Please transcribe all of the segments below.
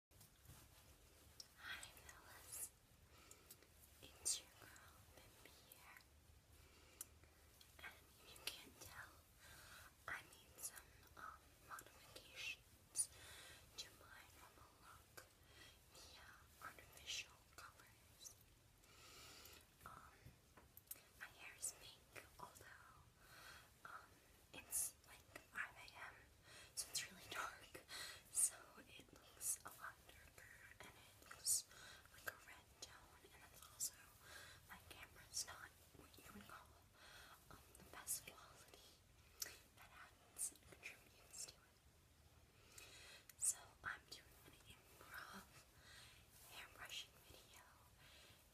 Hi fellas, it's your girl Bimbi and if you can't tell, I made some um, modifications to my normal look via artificial colors. Um, my hair is pink, although um, it's like 5 a.m. so it's really dark. So it looks a lot darker and it looks like a red tone and it's also my camera is not what you would call um, the best quality that adds and contributes to it. So I'm doing an improv hair brushing video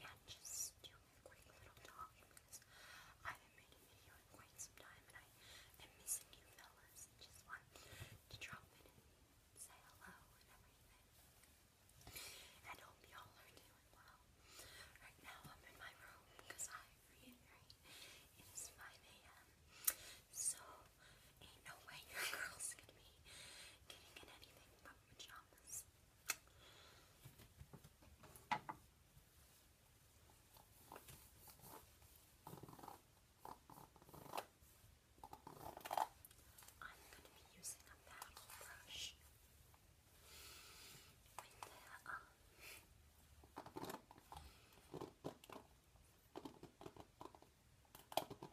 and just doing quick little talk because i have made a video in quite some time, and I am missing you fellas. Just want to drop in and say hello and everything. And hope y'all are doing well. Right now I'm in my room because I reiterate it is 5 a.m. So ain't no way your girl's gonna be getting in anything but pajamas. I'm going to be using a paddle brush with the um,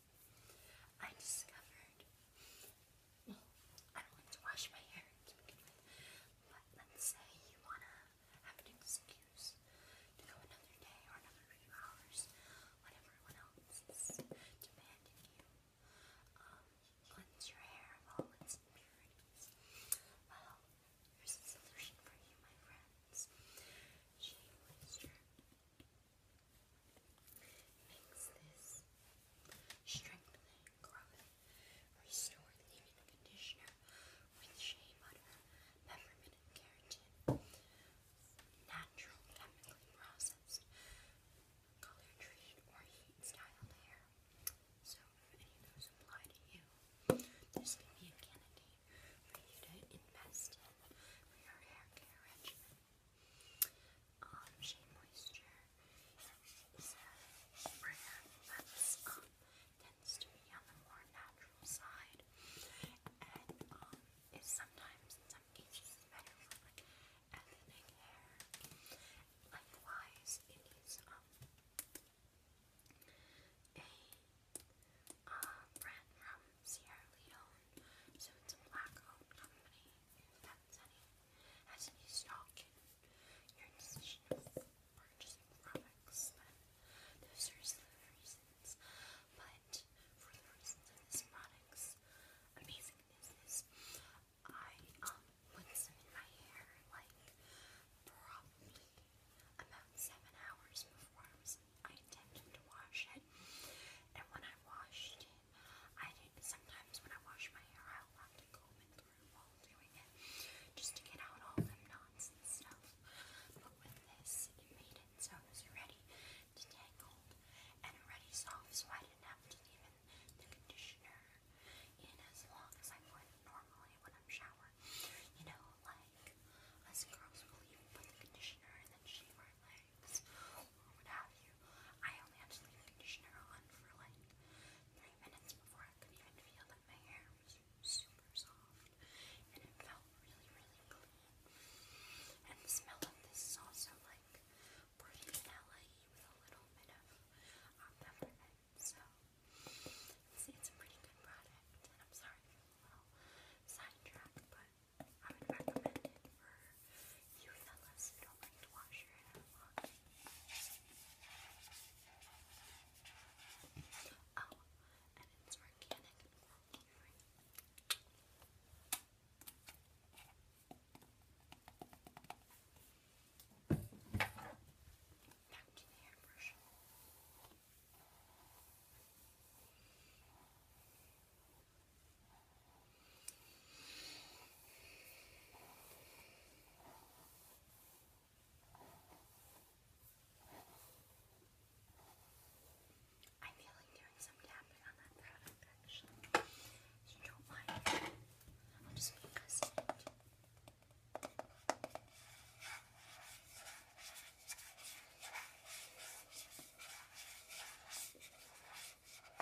I discovered, well, I don't like to wash my hair but let's say you want to have an excuse to go another day or another few hours when everyone else is demanding you um, cleanse your hair of all its impurities. Well, a solution for you, my friends. Shave Makes this strengthening, growing, conditioner with shea butter, peppermint, and keratin. Natural, chemically processed, color treated, or heat styled hair. So, if any of those apply to you, this could be a candidate for you to invest in for your hair regimen. Um, Shea Moisture is a brand that's um, tends on the more natural side, and um, is sometimes in some cases better for like ethnic hair. Likewise, it is um a uh, brand from Sierra so it's a black-owned company. That's any, has any stock your decision of purchasing products, those are the reasons. But for the reasons of this product's amazingness is, I um put some in my hair like probably about seven hours before I was I intended to wash it, and when I washed in. I sometimes when I wash my hair, I'll have to comb it through while doing it, just to get out all them knots and stuff. But with this, it made it so it ready to and already soft, so I didn't have to leave in the conditioner in as long as I would normally when I'm showering. You know, like us girls will even put the conditioner and then shave our legs things you. I only had to leave the conditioner on for like three minutes before I could even feel that my hair was super soft and it felt really, really clean. And the smell of this is also like pretty vanilla with a little bit of uh, peppermint. So it's a pretty good product. And I'm sorry for the little sidetrack, but but I would recommend it for you fellas who to wash your hair a lot. Oh, and it's organic and free Back to the airbrush. I feel like doing some tapping on that product actually. If you don't mind, I'll just focus it. Okay.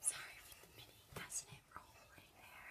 Sorry for the mini, does roll right there?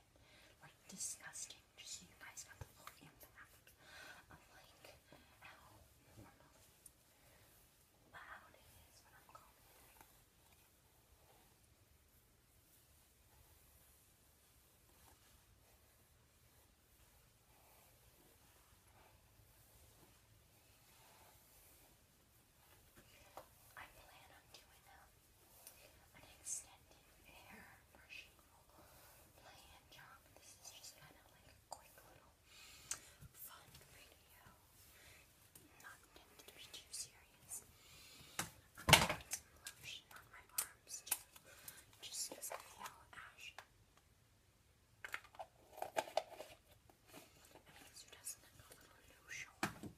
like disgusting. Just so you guys got the full of like how loud it is when I'm calling I plan on doing them an extended hair brushing plan job. This is just kind of like a quick little fun video. Not intended to be too serious. I'm going lotion on my arms too, I feel ashy. I mean, who doesn't have a lotion?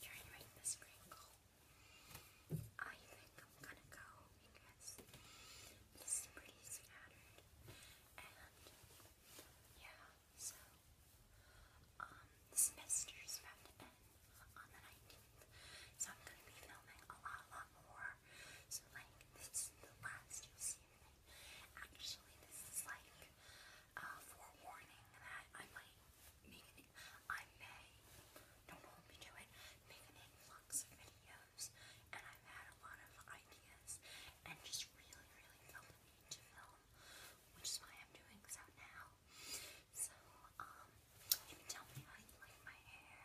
Trying to make this crinkle. I think I'm gonna go because this is pretty yeah, so, um, semester's about to end on the 19th, so I'm gonna be filming a lot, lot more. So, like, this is the last you'll see of me. Actually, this is like a forewarning that I might make I may, don't hold me to it, make an influx of videos. And I've had a lot of ideas and just really, really felt the to film, which is why I'm doing so now. So, um, you tell me how you like my hair,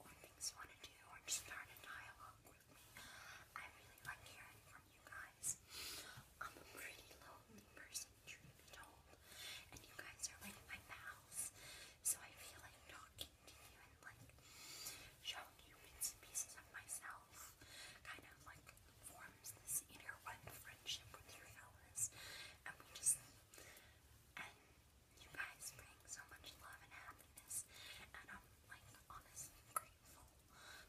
or things you want to do, or just start a dialogue with me. I really like hearing from you guys. I'm a pretty lonely person, truth be told, and you guys are like my pals, so I feel like talking to you and like showing you pieces of myself kind of like forms this inner-run friendship with your fellas. And we just, and you guys bring so much love and happiness. And I'm like honestly grateful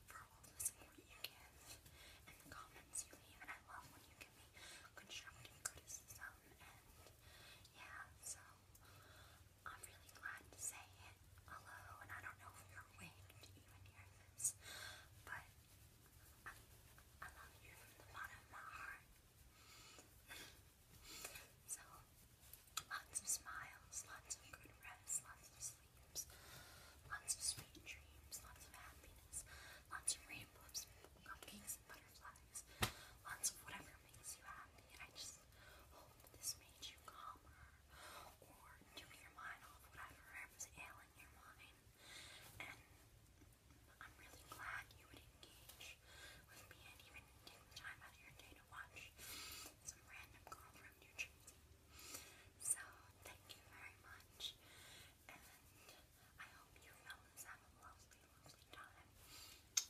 for all the support you give and the comments you leave. I love when you give me constructive criticism. And yeah, so I'm really glad to say hello, and I don't know if you're awake to even hear this, but I, love you from the bottom of my heart. so, lots of smiles, lots of good rest, lots of sleep, lots of sweet dreams, lots of happiness, lots of rainbows, and cupcakes, and butterflies, lots of whatever makes you happy. I just hope this made you calmer or doing your mind off whatever was ailing your mind. And I'm really glad you would engage with me and even take the time out of your day to watch some random girl from New Jersey. So thank you very much, and I hope you have a lovely, lovely time.